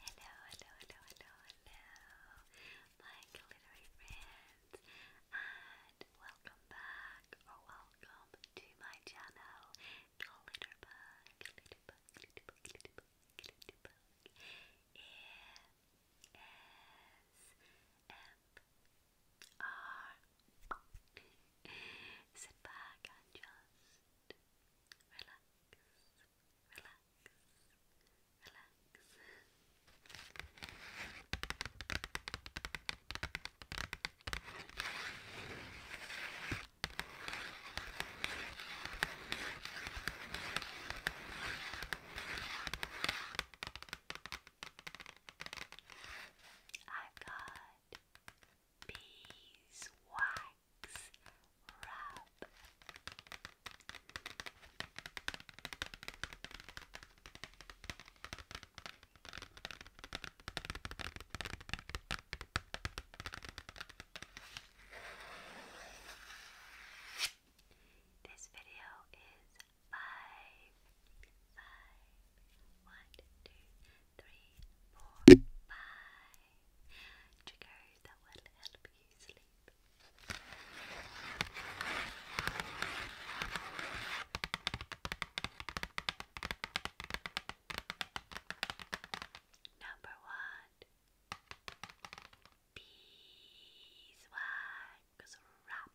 Hello, hello, hello, hello, hello, my glittery friends, and welcome back or welcome to my channel, Glitterbug, Glitterbug, Glitterbug, Glitterbug, Glitterbug, E-S-M-R. Sit back and just I've got beeswax rub. This video is five, five, one, two, three, four, five triggers that will help you sleep. Number one, beeswax wrap.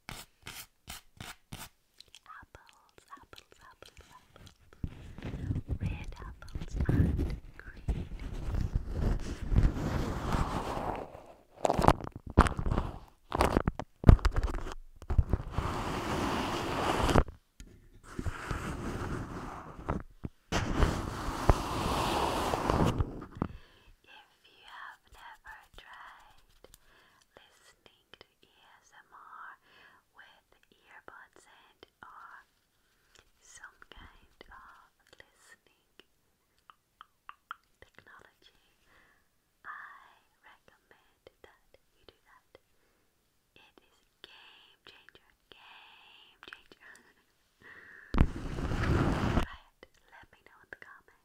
Apples, apples, apples, apples. Red apples and green. If you have never tried listening ESMR with earbuds and or some kind of listening technology, I recommend that you do that. It is game changer, game changer. Try it. Let me know in the comments.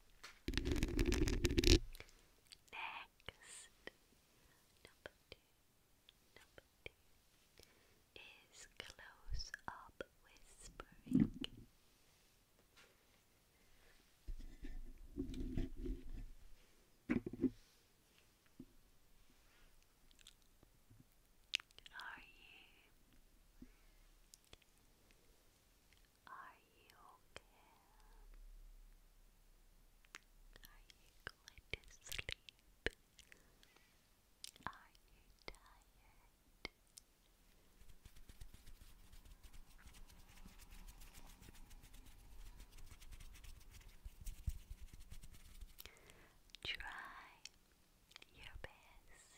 Next, number two, number two is close up whispering. Are you are you okay? Are you going to sleep? Are you tired? Try your best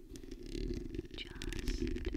just their repetitiveness of this trigger is soothing.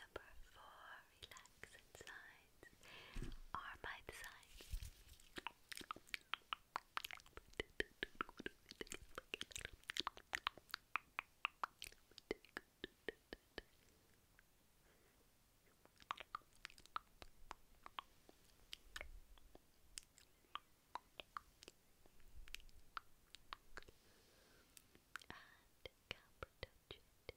number four, relax insides are my designs. And Capra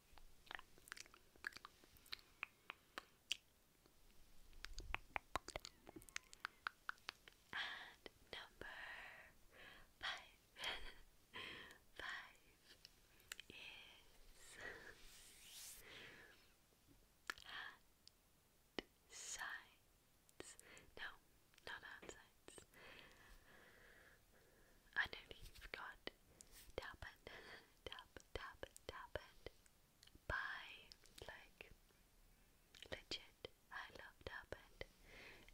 And number five, five is hand No, not hand underneath got tap it, tap, tap, tap it. Bye. Like, legit. I love tap it.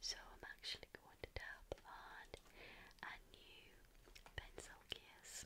So I'm actually going to tap on a new pencil case.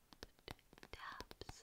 taps.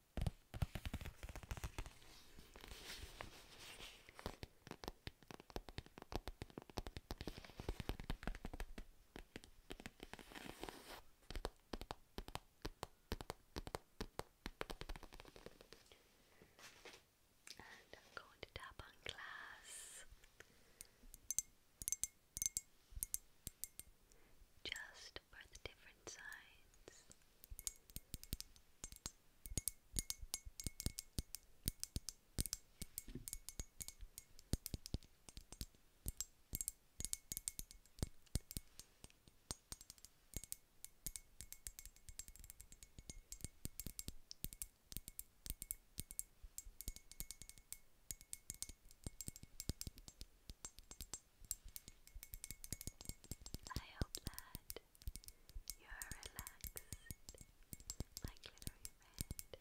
And I'm going to tap on glass just test for different sides. I hope that you're relaxed, like little human.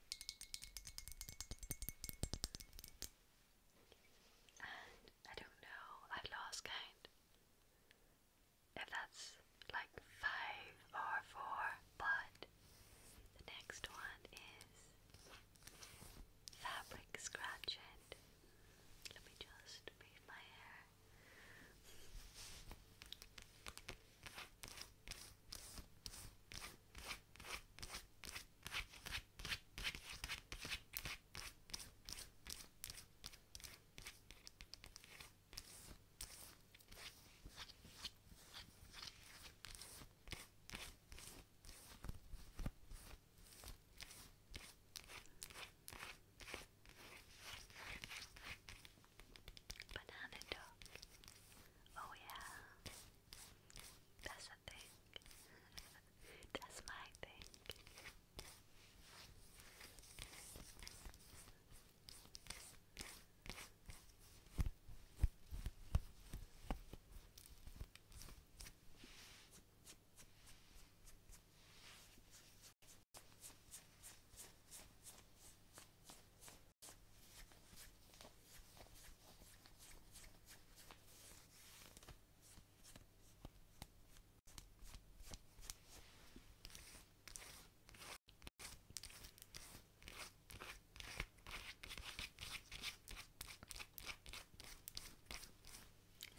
And I don't know, I lost count. If that's like five or four, but the next one is fabric scratching. Let me just move my hair. Banana dog. Oh yeah. That's a thing. That's my thing.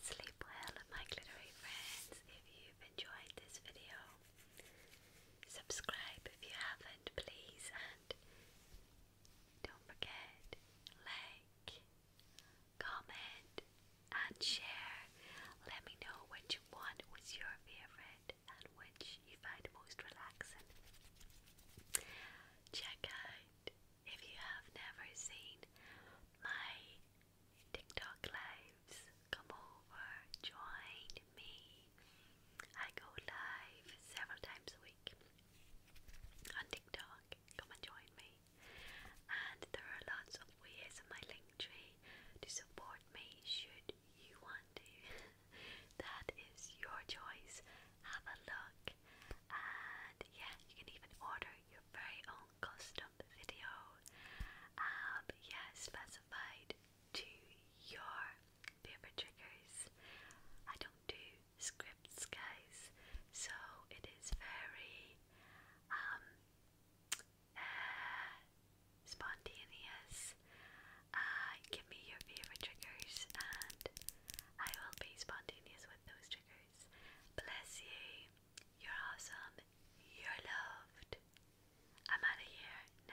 Sleep well, my glittery friends. If you've enjoyed this video, subscribe if you haven't comment, please, and don't forget like, comment, and share. Let me know which one was your favorite and which you find most relaxing. Check out if you have never seen my TikTok lives. Come over, join, me. I go live several times a week on TikTok. Come and join me. And there are lots of ways on my link tree to support me should you want to. that is your choice. Have a look. And yeah, you can even order your very own custom video. Um yeah, specified to your paper triggers. I don't do scripts, guys, so it is very um, uh, spontaneous. Uh, give me your favorite triggers, and I will be spontaneous with those triggers. Bless you. You're awesome. You're loved. I'm out of here